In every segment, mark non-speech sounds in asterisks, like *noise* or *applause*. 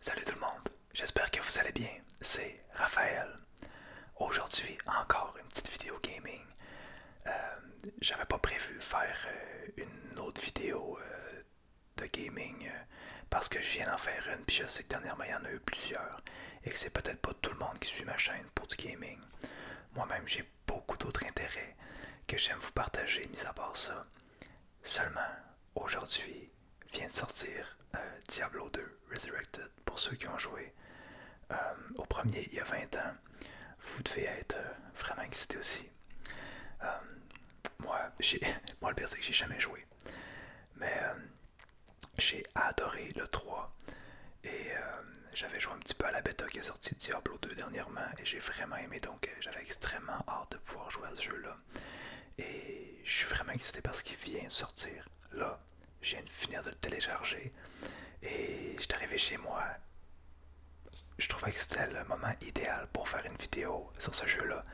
Salut tout le monde, j'espère que vous allez bien, c'est Raphaël. Aujourd'hui, encore une petite vidéo gaming. Euh, j'avais pas prévu faire euh, une autre vidéo euh, de gaming parce que je viens d'en faire une, puis je sais que dernièrement il y en a eu plusieurs et que c'est peut-être pas tout le monde qui suit ma chaîne pour du gaming. Moi-même, j'ai beaucoup d'autres intérêts que j'aime vous partager, mis à part ça. Seulement, aujourd'hui vient de sortir euh, Diablo 2 Resurrected pour ceux qui ont joué euh, au premier il y a 20 ans. Vous devez être euh, vraiment excités aussi. moi, *laughs* moi, le pire, c'est que j'ai jamais joué. Mais j'ai adoré le 3 et euh, j'avais joué un petit peu à la bêta qui est sortie Diablo 2 dernièrement et j'ai vraiment aimé donc euh, j'avais extrêmement hâte de pouvoir jouer à ce jeu là et je suis vraiment excité parce qu'il vient de sortir là je viens de finir de le télécharger et je suis arrivé chez moi je trouvais que c'était le moment idéal pour faire une vidéo sur ce jeu là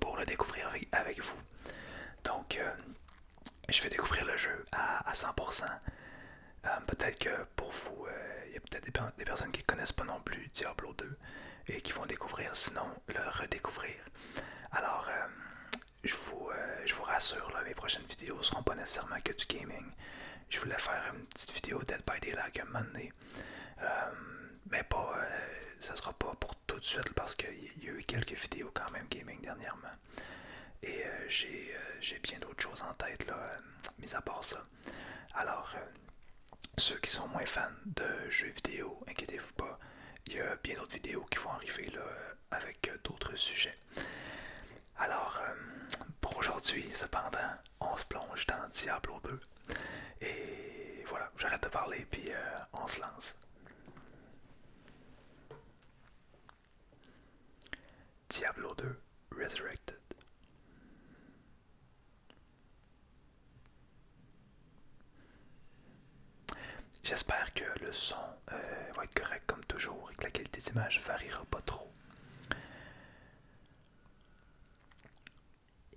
pour le découvrir avec vous donc, euh, je vais découvrir le jeu à, 100%. Euh, peut-être que pour vous, euh, il y a peut-être des, personnes qui ne connaissent pas non plus Diablo 2 et qui vont découvrir, sinon le redécouvrir. Alors, je, vous, rassure, mes prochaines vidéos ne seront pas nécessairement que du gaming. Je voulais faire une petite vidéo Dead by Daylight un moment donné. mais pas, ne sera pas pour tout de suite parce qu'il y a eu quelques vidéos quand même gaming dernièrement. Et euh, euh, j'ai bien d'autres choses en tête, là, euh, mis à part ça. Alors, ceux qui sont moins fans de jeux vidéo, inquiétez-vous pas, il y a bien d'autres vidéos qui vont arriver là, avec d'autres sujets. Alors, pour aujourd'hui, cependant, on se plonge dans Diablo 2. Et voilà, j'arrête de parler, puis on se lance. Diablo 2 Resurrected. J'espère que le son euh, va être correct comme toujours et que la qualité d'image variera pas trop.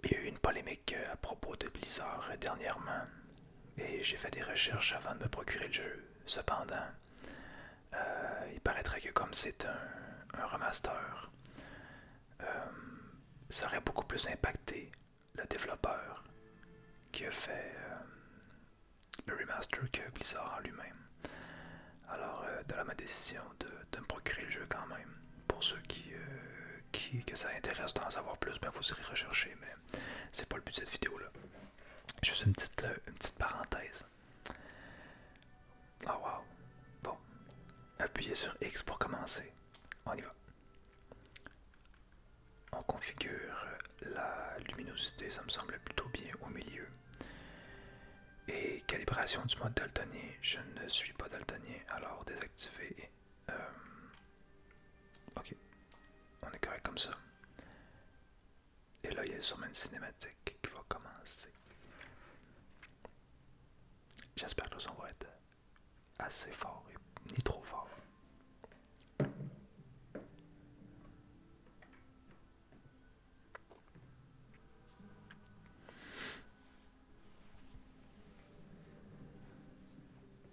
Il y a eu une polémique euh, à propos de Blizzard euh, dernièrement et j'ai fait des recherches avant de me procurer le jeu. Cependant, euh, il paraîtrait que comme c'est un, remaster, ça aurait beaucoup plus impacté le développeur qui a fait le remaster que Blizzard en lui-même. Alors, de la ma décision de, me procurer le jeu quand même. Pour ceux qui, que ça intéresse d'en savoir plus, ben vous irez rechercher, c'est pas le but de cette vidéo là. Juste une petite, euh, une petite parenthèse. Ah Bon. Appuyez sur X pour commencer. On y va. On configure la luminosité, ça me semble plutôt bien au milieu. Et calibration du mode daltonien, je ne suis pas daltonien, alors désactiver euh, ok on est carré comme ça et là il y a une cinématique qui va commencer j'espère que le son va être assez fort ni trop fort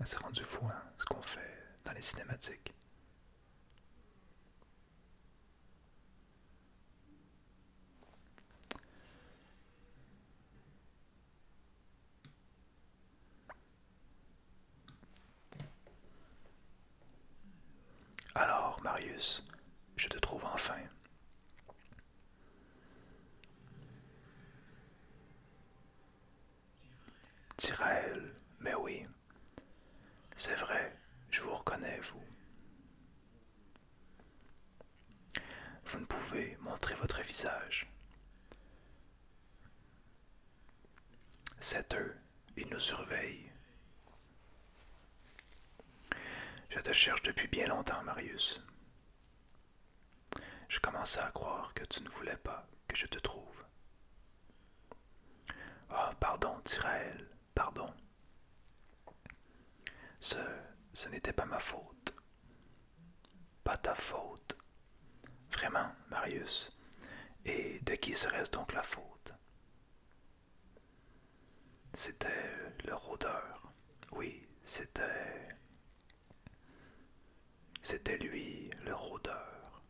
Ah, c'est rendu fou, hein, ce qu'on fait dans les cinématiques. Alors, Marius, je te trouve enfin. Tirael, mais oui, c'est vrai, je vous reconnais, vous. Vous ne pouvez montrer votre visage. C'est eux, ils nous surveillent. Je te cherche depuis bien longtemps, Marius. Je commençais à croire que tu ne voulais pas que je te trouve. oh, pardon, tyraël pardon. Ce, ce n'était pas ma faute. Pas ta faute. Vraiment, Marius. Et de qui serait-ce donc la faute C'était le rôdeur. Oui, c'était c'était lui, le rôdeur.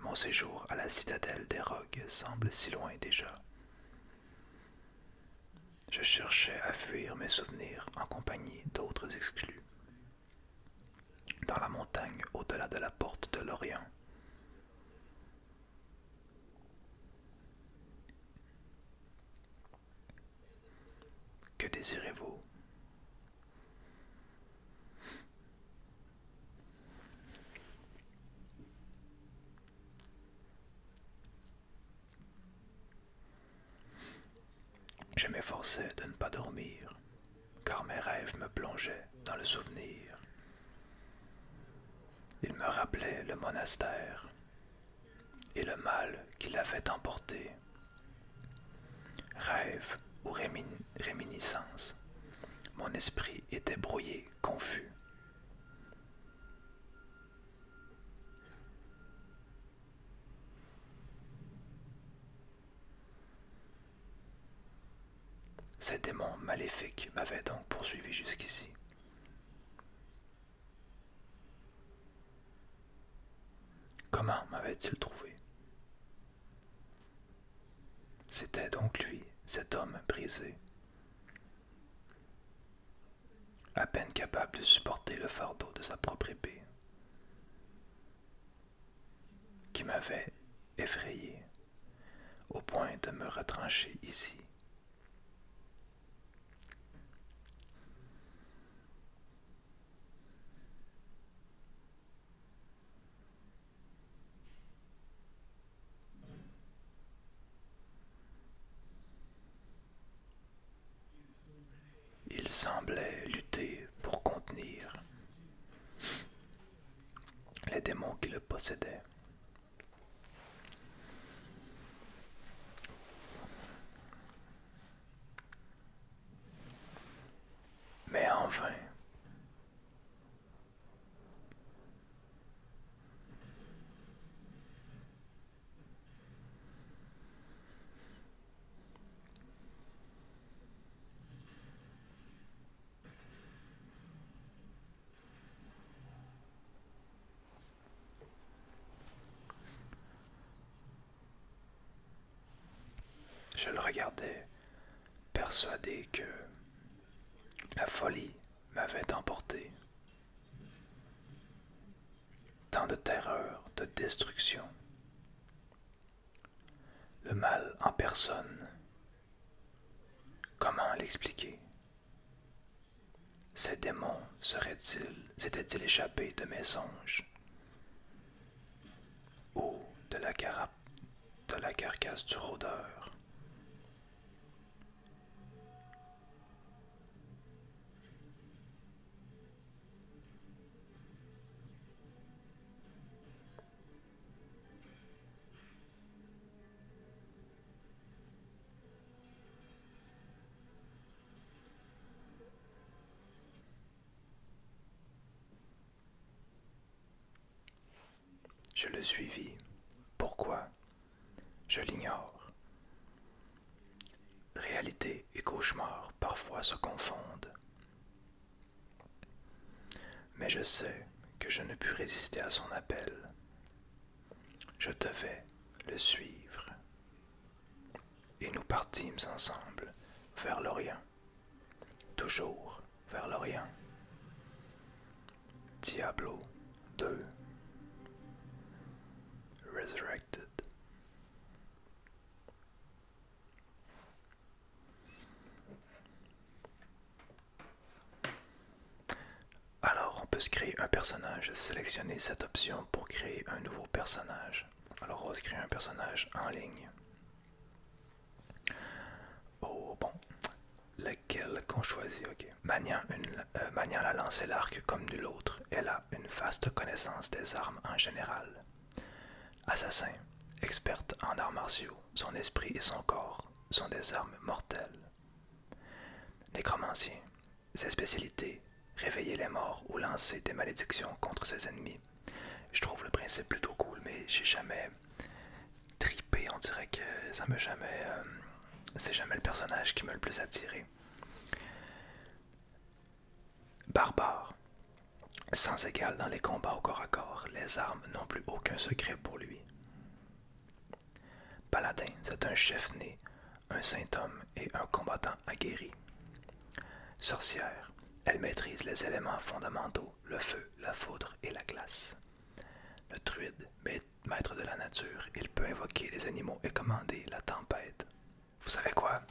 Mon séjour à la citadelle des Rogues semble si loin déjà. Je cherchais à fuir mes souvenirs en compagnie d'autres exclus. Dans la montagne au-delà de la porte de l'Orient, que désirez-vous Je m'efforçais de ne pas dormir, car mes rêves me plongeaient dans le souvenir. Il me rappelait le monastère et le mal qu'il avait emporté. Rêve ou réminiscence, mon esprit était brouillé, confus. Ces démons maléfiques m'avaient donc poursuivi jusqu'ici. Comment m'avait-il trouvé C'était donc lui, cet homme brisé. À peine capable de supporter le fardeau de sa propre épée, qui m'avait effrayé au point de me retrancher ici. Il semblait lutter pour contenir les démons qui le possédaient mais enfin, je le regardais, persuadé que la folie m'avait emporté. Tant de terreur, de destruction. Le mal en personne Comment l'expliquer Ces démons seraient-ils, sétaient il échappés de mes songes Ou de la, carape, de la carcasse du rôdeur je le suivis. Pourquoi Je l'ignore. Réalité et cauchemar parfois se confondent. Mais je sais que je ne pus résister à son appel. Je devais le suivre. Et nous partîmes ensemble vers l'Orient, toujours vers l'Orient. Diablo 2 Resurrected. Alors, on peut se créer un personnage, sélectionner cette option pour créer un nouveau personnage. Alors, on va se créer un personnage en ligne. Oh bon, lequel qu'on choisit, ok. Mania une, euh, la lance et l'arc comme de l'autre. elle a une vaste connaissance des armes en général. Assassin, experte en arts martiaux, son esprit et son corps sont des armes mortelles. Nécromancien ses spécialités, réveiller les morts ou lancer des malédictions contre ses ennemis. Je trouve le principe plutôt cool, mais j'ai jamais tripé, on dirait que ça me jamais... Euh, c'est jamais le personnage qui me le plus attiré. Barbare. Sans égal dans les combats au corps à corps, les armes n'ont plus aucun secret pour lui. Paladin, c'est un chef né, un saint homme et un combattant aguerri. Sorcière, elle maîtrise les éléments fondamentaux, le feu, la foudre et la glace. Le druide, maître de la nature, il peut invoquer les animaux et commander la tempête. Vous savez quoi?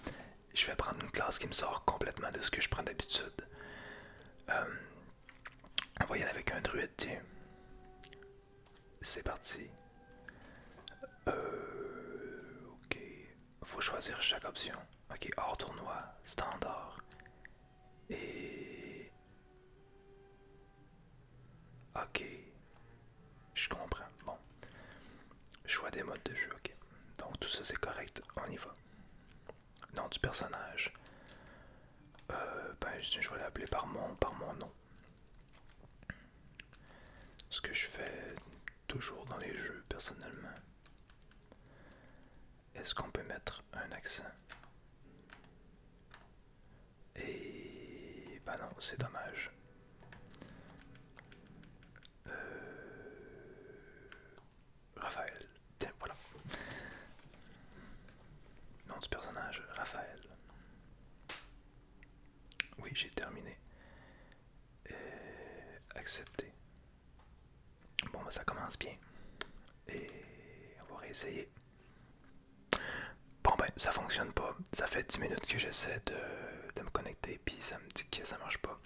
Je vais prendre une classe qui me sort complètement de ce que je prends d'habitude. Euh, on va y aller avec un druide, tiens. C'est parti. Euh, ok. Faut choisir chaque option. Ok, hors tournoi, standard. Et... Ok. Je comprends. Bon. Choix des modes de jeu, ok. Donc tout ça c'est correct. On y va. Non, du personnage. Euh, ben, je vais l'appeler par mon, par mon nom. Ce que je fais toujours dans les jeux personnellement. Est-ce qu'on peut mettre un accent Et... ben non, c'est dommage. Euh, Raphaël. Tiens, voilà. Nom du personnage, Raphaël. Oui, j'ai terminé. Accepté. Bon, bah, ça commence bien. Et on va réessayer. Bon, ben, ça fonctionne pas. Ça fait 10 minutes que j'essaie de, me connecter, puis ça me dit que ça marche pas.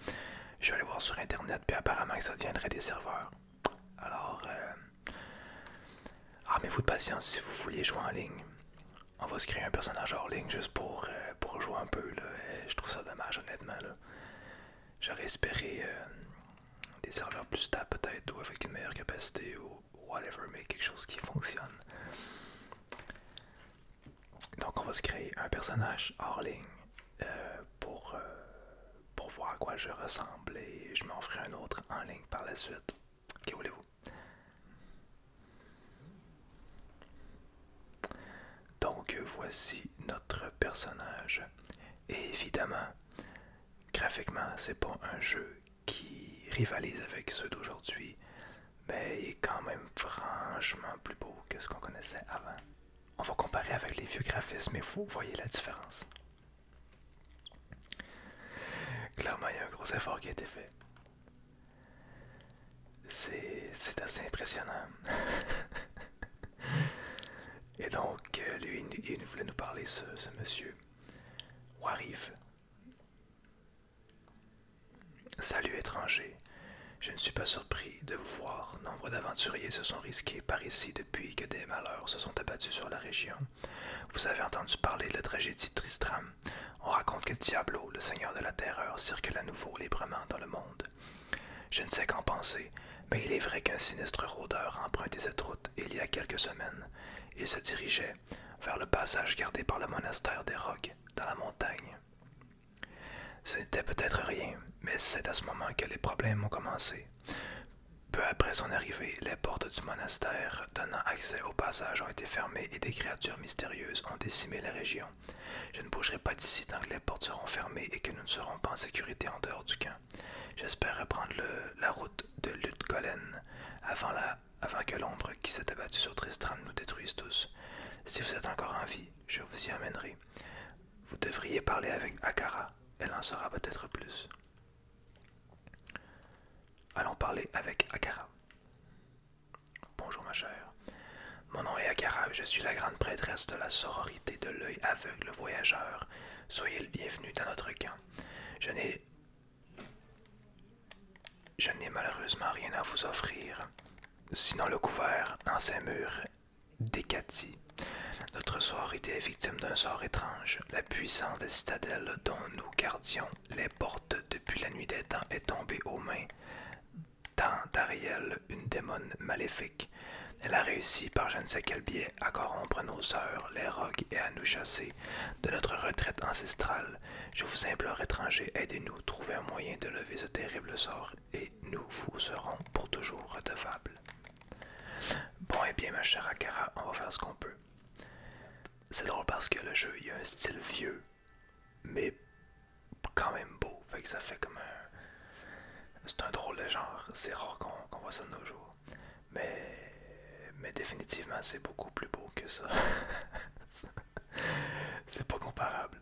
Je vais aller voir sur internet, puis apparemment que ça deviendrait des serveurs. Alors, euh, armez-vous de patience si vous voulez jouer en ligne. On va se créer un personnage hors ligne juste pour, euh, pour jouer un peu. Là. Euh, je trouve ça dommage, honnêtement. J'aurais espéré des serveurs plus stables, peut-être, ou avec une meilleure capacité, ou whatever, mais quelque chose qui fonctionne. Donc, on va se créer un personnage hors ligne. Euh, pour, euh, pour voir à quoi je ressemble et je m'en ferai un autre en ligne par la suite. Que voulez-vous? Donc voici notre personnage. Et évidemment, graphiquement, c'est pas un jeu qui rivalise avec ceux d'aujourd'hui, mais il est quand même franchement plus beau que ce qu'on connaissait avant on va comparer avec les vieux graphismes mais vous voyez la différence. Clairement, il y a un gros effort qui a été fait. C'est assez impressionnant. *laughs* et donc, euh, lui, il, voulait nous parler, ce, ce monsieur. Warif. Salut étranger, je ne suis pas surpris de vous voir nombre d'aventuriers se sont risqués par ici depuis que des malheurs se sont abattus sur la région. Vous avez entendu parler de la tragédie de Tristram. On raconte que Diablo, le seigneur de la terreur, circule à nouveau librement dans le monde. Je ne sais qu'en penser, mais il est vrai qu'un sinistre rôdeur empruntait cette route il y a quelques semaines. Il se dirigeait vers le passage gardé par le monastère des Rogues, dans la montagne. Ce n'était peut-être rien, mais c'est à ce moment que les problèmes ont commencé. Peu après son arrivée, les portes du monastère donnant accès au passage ont été fermées et des créatures mystérieuses ont décimé la région. Je ne bougerai pas d'ici tant que les portes seront fermées et que nous ne serons pas en sécurité en dehors du camp. J'espère reprendre la route de Ludgolen avant, la, avant que l'ombre qui s'est abattue sur Tristram nous détruise tous. Si vous êtes encore en vie, je vous y amènerai. Vous devriez parler avec Akara elle en saura peut-être plus. Allons parler avec Akara. Bonjour ma chère. Mon nom est Akara je suis la grande prêtresse de la sororité de l'œil aveugle voyageur. Soyez le bienvenu dans notre camp. Je n'ai... Je n'ai malheureusement rien à vous offrir, sinon le couvert, sein murs Décati. Notre sort était victime d'un sort étrange. La puissante citadelle dont nous gardions les portes depuis la nuit des temps est tombée aux mains d'Ariel, une démone maléfique. Elle a réussi par je ne sais quel biais à corrompre nos sœurs, les rogues, et à nous chasser de notre retraite ancestrale. Je vous implore, étrangers, aidez-nous, trouver un moyen de lever ce terrible sort et nous vous serons pour toujours redevables. Bon et eh bien ma chère Akara, on va faire ce qu'on peut. C'est drôle parce que le jeu, il a un style vieux, mais quand même beau. Fait ça fait comme un... C'est un drôle de genre, c'est rare qu'on voit ça de nos jours. Mais, mais définitivement, c'est beaucoup plus beau que ça. *laughs* c'est pas comparable.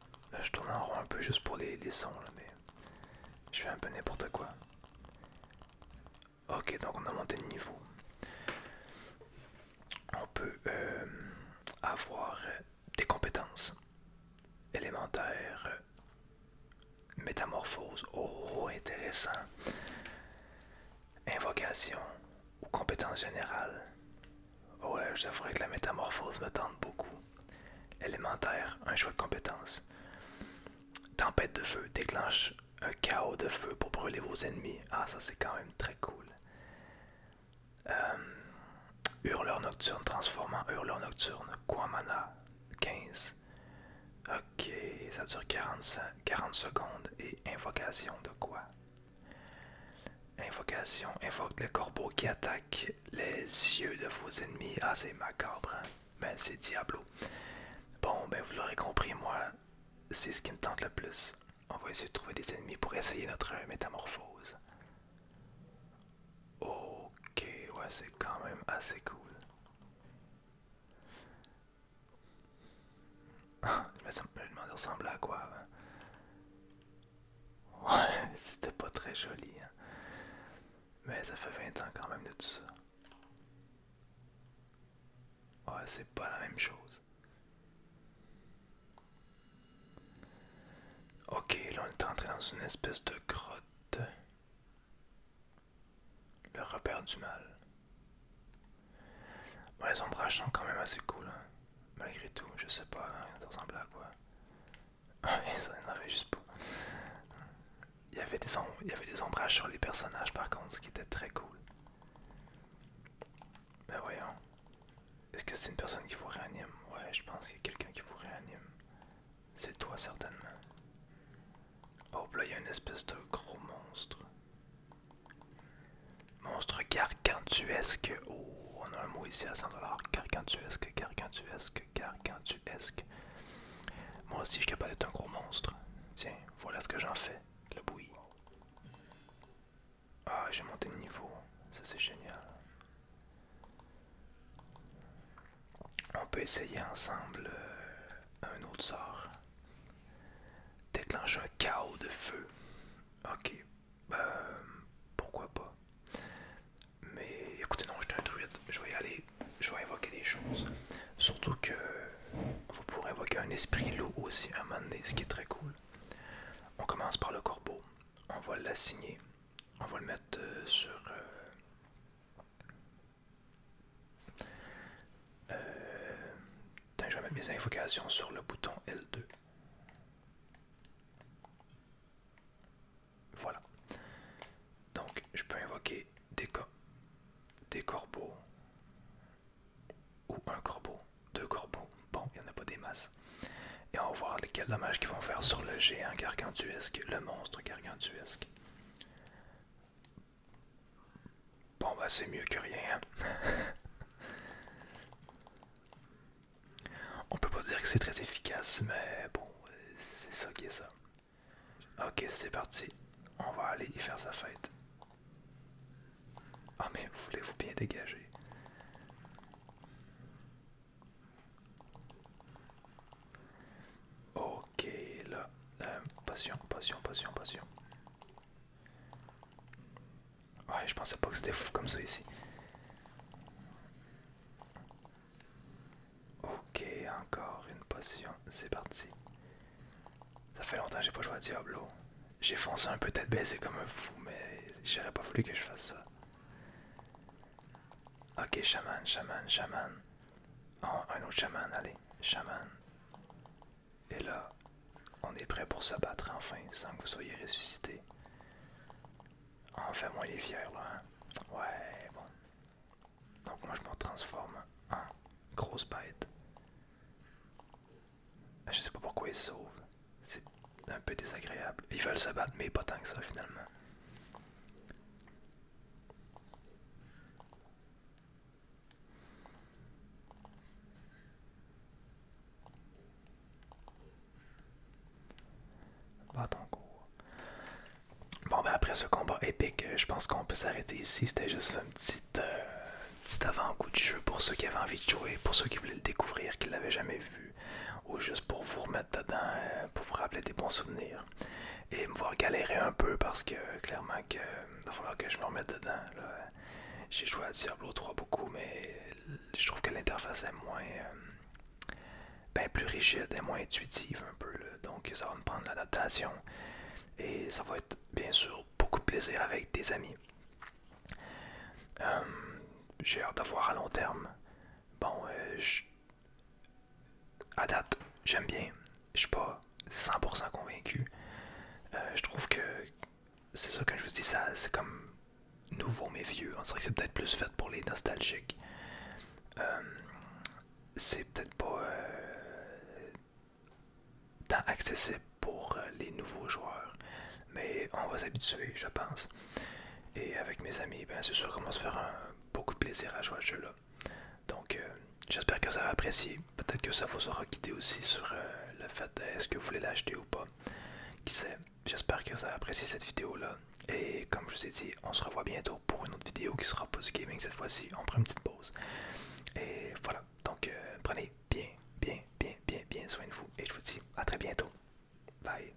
je tourne en rond un peu juste pour les, sons, mais je fais un peu n'importe quoi. Ok, donc on a monté le niveau. On peut euh, avoir des compétences élémentaires, métamorphose, oh intéressant, invocation ou compétences générales. Oh là, que la métamorphose me tente beaucoup élémentaire, un choix de compétence. Tempête de feu déclenche un chaos de feu pour brûler vos ennemis. Ah, ça c'est quand même très cool. Euh, hurleur nocturne, transformant hurleur nocturne. Quoi mana 15. Ok, ça dure 40, 40 secondes. Et invocation de quoi Invocation invoque le corbeau qui attaque les yeux de vos ennemis. Ah, c'est macabre, mais hein. ben, c'est Diablo. Bon, ben vous l'aurez compris, moi, c'est ce qui me tente le plus. On va essayer de trouver des ennemis pour essayer notre métamorphose. Ok, ouais, c'est quand même assez cool. *laughs* je me demande ressembler à quoi hein. Ouais, *laughs* c'était pas très joli, hein. Mais ça fait 20 ans quand même de tout ça. Ouais, c'est pas la même chose. Ok, là on est entré dans une espèce de grotte. Le repère du mal. Bon, les ombrages sont quand même assez cool, hein. malgré tout. Je sais pas, hein, ça ressemble à quoi. Ah juste Il y, avait des il y avait des ombrages sur les personnages par contre, ce qui était très cool. Mais ben voyons. Est-ce que c'est une personne qui vous réanime Ouais, je pense qu'il y a quelqu'un qui vous réanime. C'est toi certainement. Oh là, il y a une espèce de gros monstre. Monstre gargantuesque. Oh, on a un mot ici à 100$. Gargantuesque gargantuesque, tu esque Moi aussi, je suis capable d'être un gros monstre. Tiens, voilà ce que j'en fais, le bouillie. Ah, j'ai monté le niveau. Ça, c'est génial. On peut essayer ensemble euh, un autre sort. Déclenche un chaos de feu. Ok, euh, pourquoi pas. Mais écoutez, non, j'étais un druide, je vais y aller, je vais évoquer des choses. Surtout que vous pourrez évoquer un esprit loup aussi à un moment donné, ce qui est très cool. On commence par le corbeau, on va l'assigner, on va le mettre euh, sur. je vais mettre mes invocations sur le bouton L2. Voilà. Donc, je peux invoquer des, des corbeaux. Ou un corbeau. Deux corbeaux. Bon, il n'y en a pas des masses. Et on va voir lesquels dommages qu'ils vont faire sur le géant gargantuesque, le monstre gargantuesque. Bon, bah, c'est mieux que rien. *laughs* On peut pas dire que c'est très efficace, mais bon, c'est ça qui est ça. Ok, c'est parti. On va aller y faire sa fête. Ah, mais vous voulez vous bien dégager. Ok, là. Euh, passion, passion, passion, passion. Ouais, je pensais pas que c'était fou comme ça ici. Ok, encore une potion, c'est parti. Ça fait longtemps que j'ai pas joué à Diablo. J'ai foncé un peu tête baissée comme un fou, mais j'aurais pas voulu que je fasse ça. Ok, chaman, chaman, chaman. Oh, un autre chaman, allez, chaman. Et là, on est prêt pour se battre enfin, sans que vous soyez ressuscité. Ah, enfin, moi, il est fier là. Hein. Ouais, bon. Donc, moi, je me transforme en grosse bête. Ah, je sais pas pourquoi ils sauve. sauvent. C'est un peu désagréable. Ils veulent se battre, mais pas tant que ça finalement. Bon, ben après ce combat épique, je pense qu'on peut s'arrêter ici. C'était juste euh, un petit, avant-goût de jeu pour ceux qui avaient envie de jouer, pour ceux qui voulaient le découvrir, qui ne l'avaient jamais vu, ou juste pour vous remettre dedans, euh, pour vous rappeler des bons souvenirs. Et me voir galérer un peu parce que clairement que, il va falloir que je me remette dedans. J'ai joué à Diablo 3 beaucoup, mais je trouve que l'interface est moins. Euh, ben, plus rigide et moins intuitive un peu. Donc ça va me prendre l'adaptation. Et ça va être bien sûr beaucoup de plaisir avec des amis. Hum, j'ai hâte de voir à long terme. Bon, euh, à date, j'aime bien. Je suis pas 100% convaincu. Euh, je trouve que c'est ça que je vous dis, ça c'est comme Nouveau mais vieux. On hein. dirait que c'est peut-être plus fait pour les nostalgiques. Euh, c'est peut-être pas euh, tant accessible pour euh, les nouveaux joueurs. Mais on va s'habituer, je pense. Et avec mes amis, ben, c'est sûr qu'on va se faire beaucoup de plaisir à jouer à ce jeu-là. Donc, j'espère que ça va apprécié. Peut-être que ça vous aura guidé aussi sur le fait est-ce que vous voulez l'acheter ou pas. Qui sait j'espère que vous avez apprécié cette vidéo là. Et comme je vous ai dit, on se revoit bientôt pour une autre vidéo qui sera pas gaming cette fois-ci. On prend une petite pause. Et voilà, donc euh, prenez bien, bien, bien, bien, bien soin de vous. Et je vous dis à très bientôt. Bye.